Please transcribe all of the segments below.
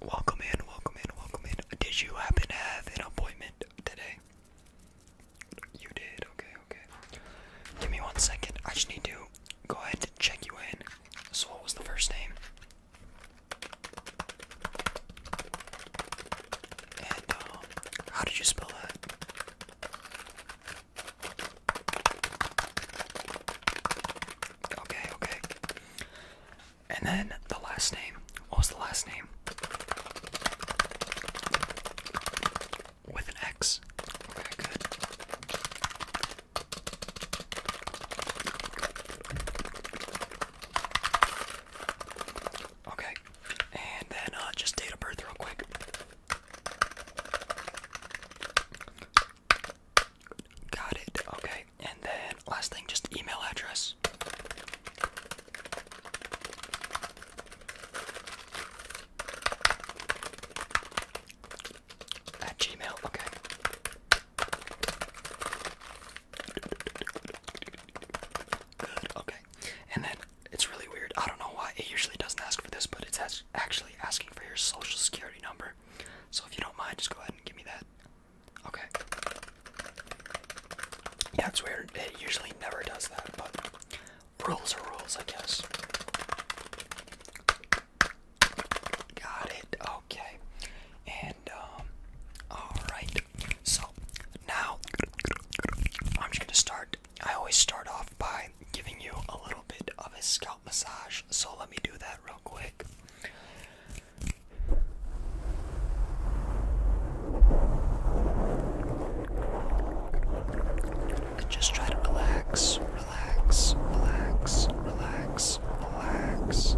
Welcome in, welcome in, welcome in. Did you happen to have an appointment today? You did, okay, okay. Give me one second. I just need to go ahead and check you in. So, what was the first name? And um, how did you spell that? Okay, okay. And then the last name. What was the last name? With an X. Okay, good. Okay, and then uh, just date of birth real quick. Got it. Okay, and then last thing, just email address. At Gmail, okay okay. And then it's really weird. I don't know why it usually doesn't ask for this, but it's actually asking for your social security number. So if you don't mind, just go ahead and give me that. Okay. Yeah, it's weird. It usually never does that, but rules are rules, I guess. Got it. Okay. And um all right. So now I'm just gonna start. I always start off by giving you a little bit of a scalp massage. So let me do that real quick. Just try to relax relax, relax, relax, relax.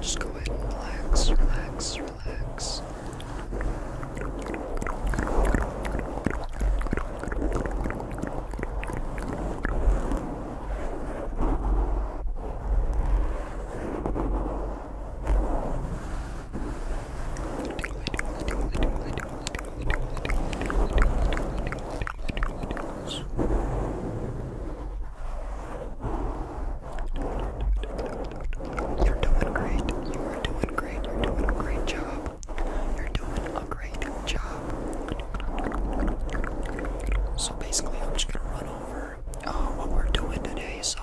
Just go ahead and relax, relax, relax. Relax, you're doing great. You are doing great. You're doing a great job. You're doing a great job. So basically, I'm just gonna run over um, what we're doing today. So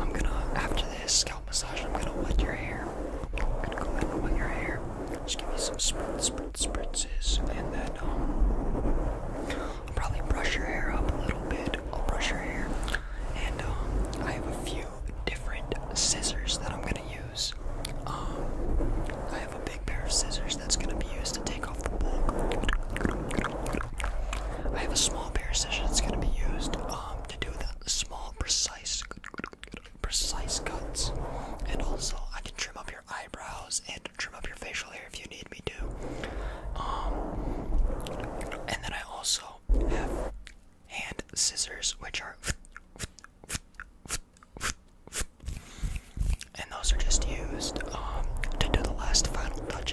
I'm gonna after this scalp massage, I'm gonna wet your hair. I'm gonna go in and wet your hair. Just give me some spritz, spritz, spritzes, and then um, I'll probably brush your hair up a little bit. I'll brush your hair, and um, I have a few different scissors that I'm gonna use. I have a big pair of scissors that's gonna be used to take off the bulk. I have a small pair of scissors. that's going to be used um, to do the small, precise, precise cuts. And also, I can trim up your eyebrows and trim up your facial hair if you need me to. Um, and then I also have hand scissors, which are. And those are just used um, to do the last final touch.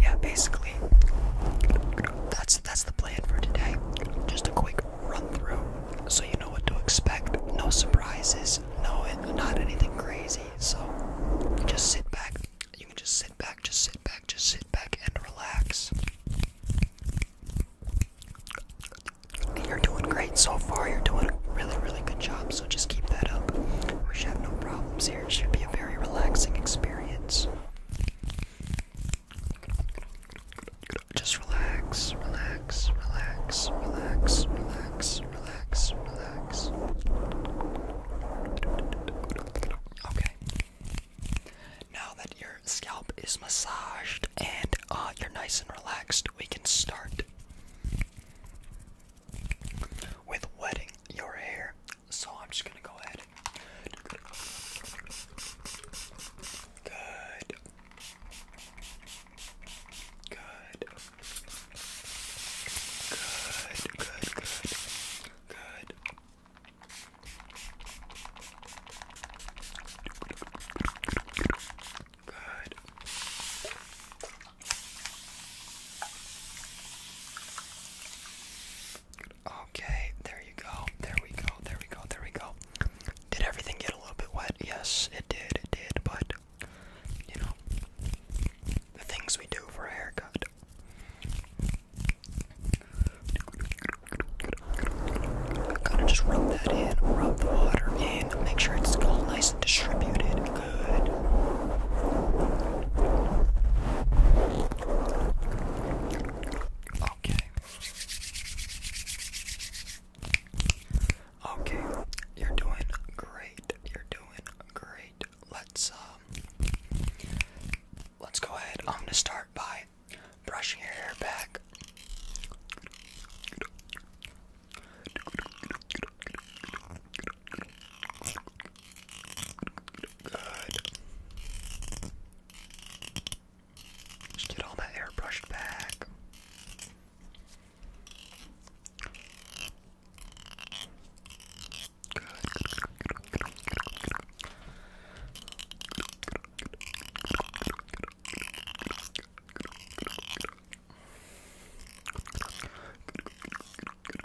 yeah, basically, that's that's the plan for today. Just a quick run through, so you know what to expect. No surprises. No, not anything crazy. So just sit back. You can just sit back, just sit back, just sit back and relax. You're doing great so far. You're doing a really, really good job. So just keep that up. We should have no problems. It should be a very relaxing experience. Just relax, relax, relax, relax, relax, relax, relax. Okay. Now that your scalp is massaged and uh, you're nice and relaxed, we can start with wetting your hair so I'm just gonna go ahead. Good. Good. Good. Good. Good. Good. Good. Okay, there you go. There we go. There we go. There we go. Did everything get a little bit wet? Yes, it did. It did. But, you know, the things we do for a haircut. Kind of just rub that in, rub the water in, make sure it's all nice and distributed. Okay. Okay, you're doing great. You're doing great. Let's um let's go ahead. I'm gonna start by brushing your hair back. Good. Just get all my hair brushed back. Good. Good.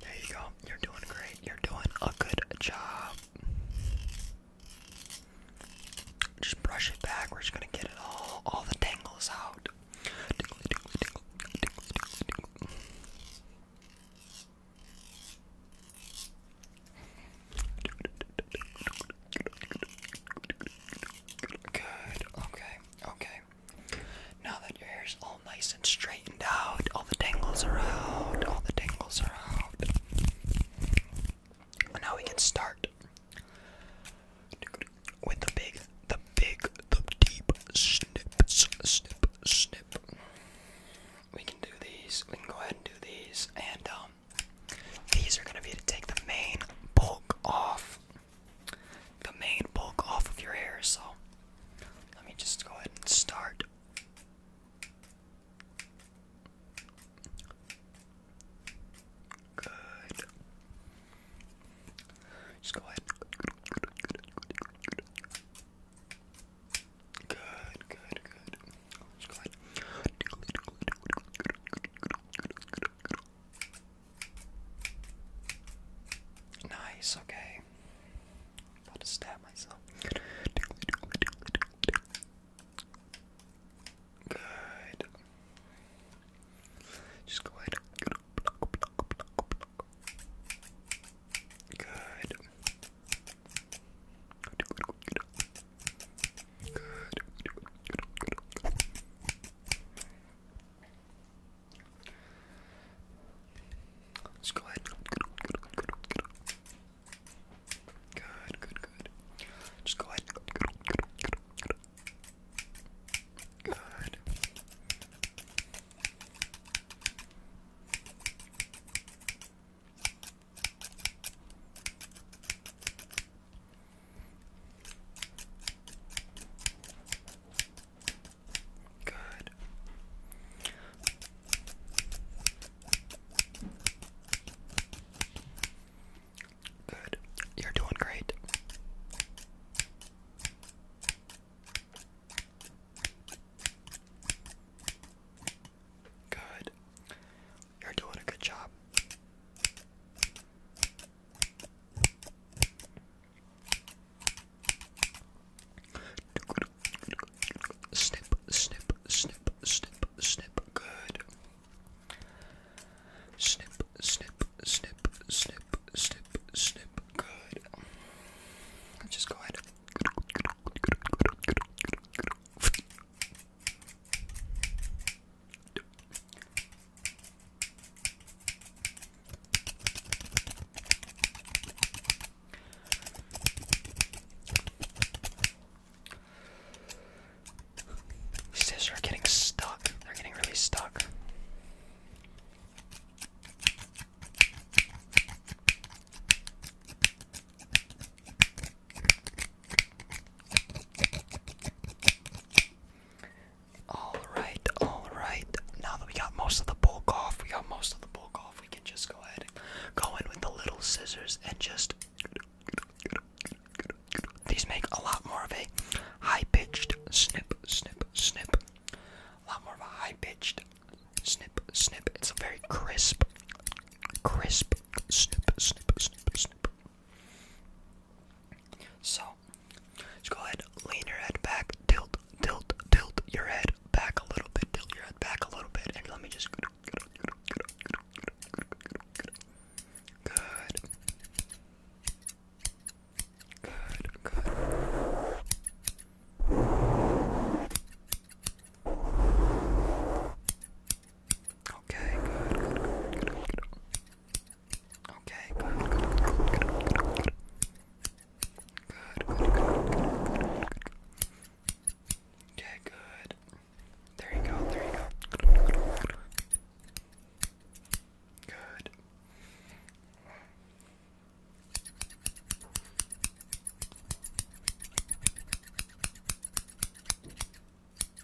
There you go. You're doing great. You're doing a good job. Just brush it back. We're just gonna get it all, all the tangles out. Good. Okay. Okay. Now that your hair is all nice and straightened out, all the tangles are out, all the tangles are out. Now we can start with the big, the big, the deep snips, snip, snip. We can do these. We can go ahead and do these, and um, these are gonna be to take the main bulk off the main bulk off of your hair. So let me just go ahead and start. Good. Just go ahead. Good, good, good. Just go ahead. Nice, okay. about to stab myself. Good. Just go ahead. Good. Good. Let's go ahead. Good, good, good. Just go ahead. Good. Good. Good. You're doing great. Good. You're doing a good job. Snip, snip, snip, snip, snip. Good. Snip, snip, snip, snip, snip, snip. Good. I'll just go ahead. Scissors are getting stuck. They're getting really stuck. All right, all right. Now that we got most of the bulk off, we got most of the bulk off. We can just go ahead and go in with the little scissors and just. These make a lot more of a high pitched snip, snip, snip. A lot more of a high pitched snip, snip. It's a very crisp, crisp snip, snip, snip, snip. So just go ahead, lean your head back, tilt, tilt, tilt your head back a little bit, tilt your head back a little bit, and let me just. Good. Good, good. Okay, good, good, good, good, good. Okay, good, good, good, good, good, good. There you go, there you go. Good.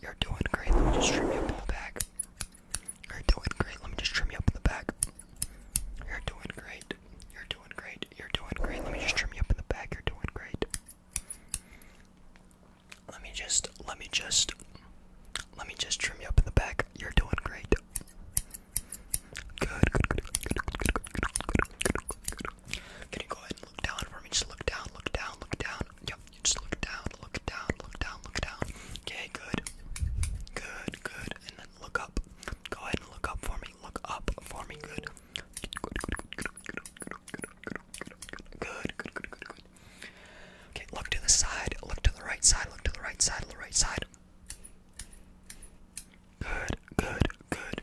You're doing great. Let me just trim you up in the back. You're doing great. Let me just trim you up in the back. You're doing great. You're doing great. You're doing great. Let me just trim you up in the back. You're doing great. Let me just, let me just, let me just trim you up in the back. You're doing great. Good, Can you go ahead and look down for me? Just look down, look down, look down. Yo, just look down, look down, look down, look down. Okay, good. Good, good. And then look up. Go ahead and look up for me. Look up for me. Good. Good, good, good, good, good, good, good, good, good, Okay, look to the side, look to the right side, look to the right side, the right side. Good, good, good.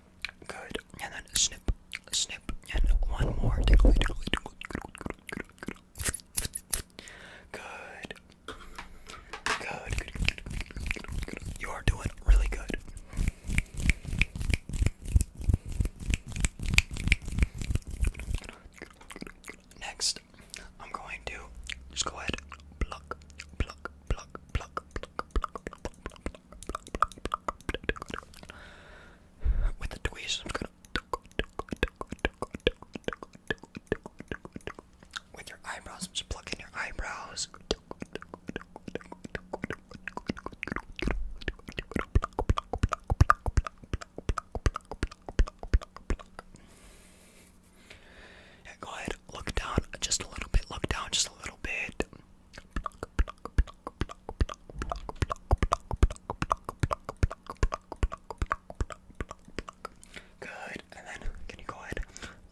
Good. And then snip, snip, and one more. Good. Good. You are doing really good. Next, I'm going to just go ahead, pluck, pluck, pluck, pluck, pluck, with the tweezers, With your eyebrows, I'm your eyebrows. Yeah, look down just a little bit, look down just a little bit. Good. And then can you go ahead?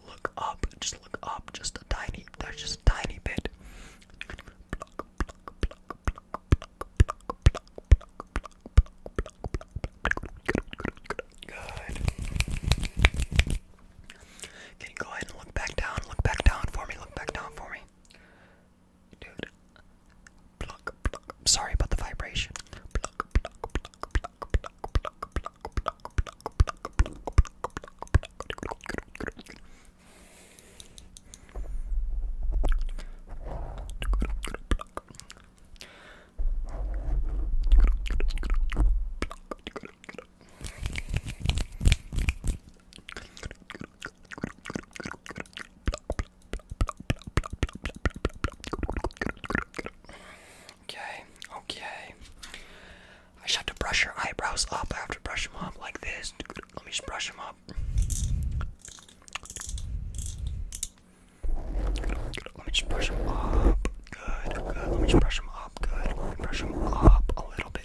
Look up. Just look up. Just a tiny. There's just a tiny bit. Good. Can you go ahead and look back down? Look back down for me. Look back down for me. Dude. Sorry about the vibration. Okay, okay. I just have to brush your eyebrows up. I have to brush them up like this. Let me brush them up. Let me just brush them up. Good, good. Let me just brush them up. Good. Brush them up a little bit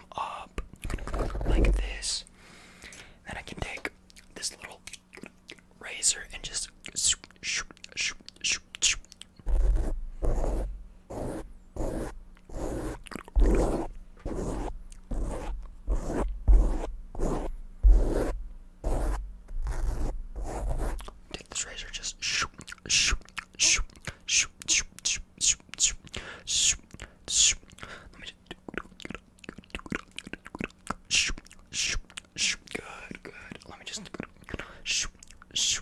up like this. Then I can take this little razor and just. Take this razor, just shoot, shoot, Good, good. Let me just. Good, good, good. Let me just. Let me just.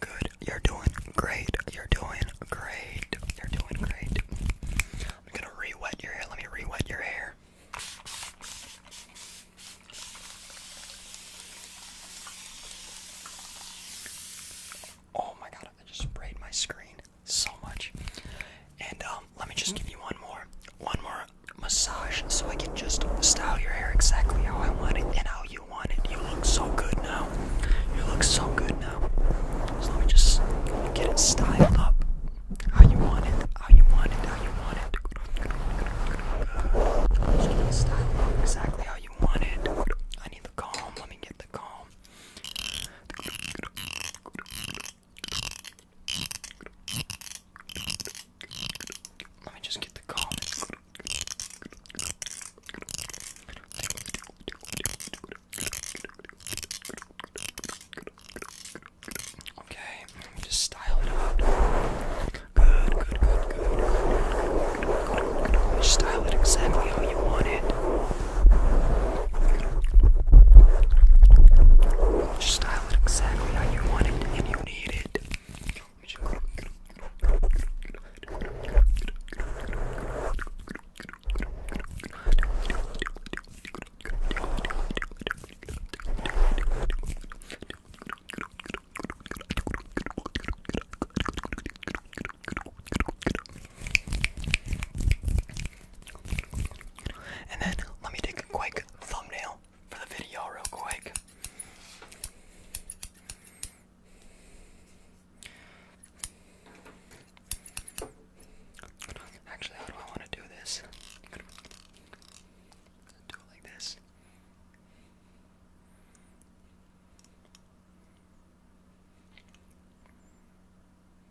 Good. You're doing great. You're doing great. You're doing great. I'm gonna re-wet your hair. Let me re-wet your hair. Oh my god, I just sprayed my screen so much. And um um, let me just give you one more, one more massage, so I can just style your hair exactly how I want it and how you want it. You look so good now. You look so good now. let me just get it styled up. How you want it? How you want it? How you want it? style up exactly how you want it. I need the comb. Let me get the comb. Let me just get the comments. Okay, let me just style it out. Good, good, good, good. Just style it exactly how you want it. We'll just style it exactly how you want it and you need it. And then let me take a quick thumbnail for the video, real quick. Actually, how do I want to do this? Do it like this.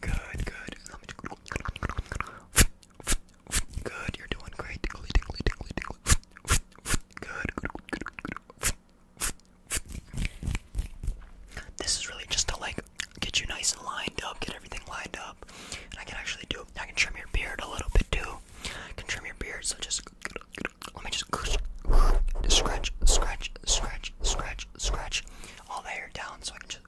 Good, good. Good, you're doing great. Good, This is really just to like get you nice and lined up, get everything lined up. And I can actually do I can trim your beard a little bit too. I can trim your beard, so just let me just scratch, scratch, scratch, scratch, scratch all the hair down so I can just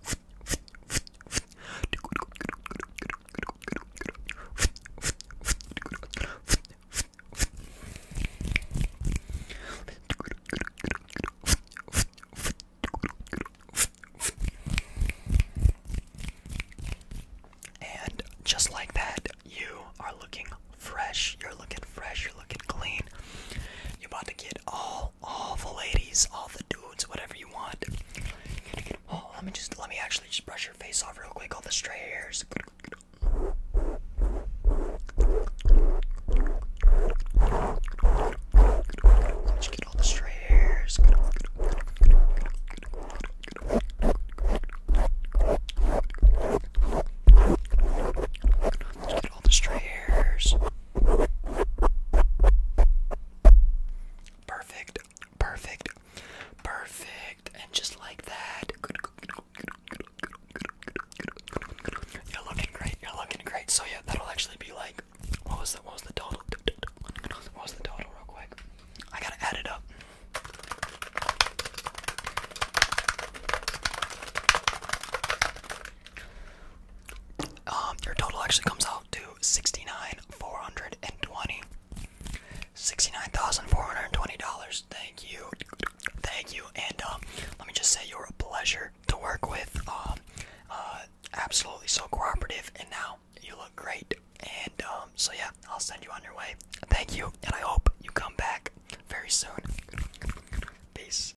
and just like that, you are looking fresh. You're looking fresh. You're looking clean. You're about to get all, all the ladies, all the dudes, whatever you want. let me just, let me actually just brush your face off real quick, all the stray hairs. just get all the stray hairs. get all the stray hairs. Perfect, perfect, perfect, and just like that. You're looking great. You're looking great. So yeah, that'll actually be like, what was the what was the total? What was the total, real quick? I gotta add it up. Um, your total actually comes out to sixty-nine four hundred and twenty. Sixty-nine thousand four hundred and twenty dollars. Thank you, thank you. And um, let me just say, you're a pleasure to work with. Um, uh, absolutely so cooperative. And now you look great. And um, so yeah, I'll send you on your way. Thank you, and I hope you come back very soon. Peace.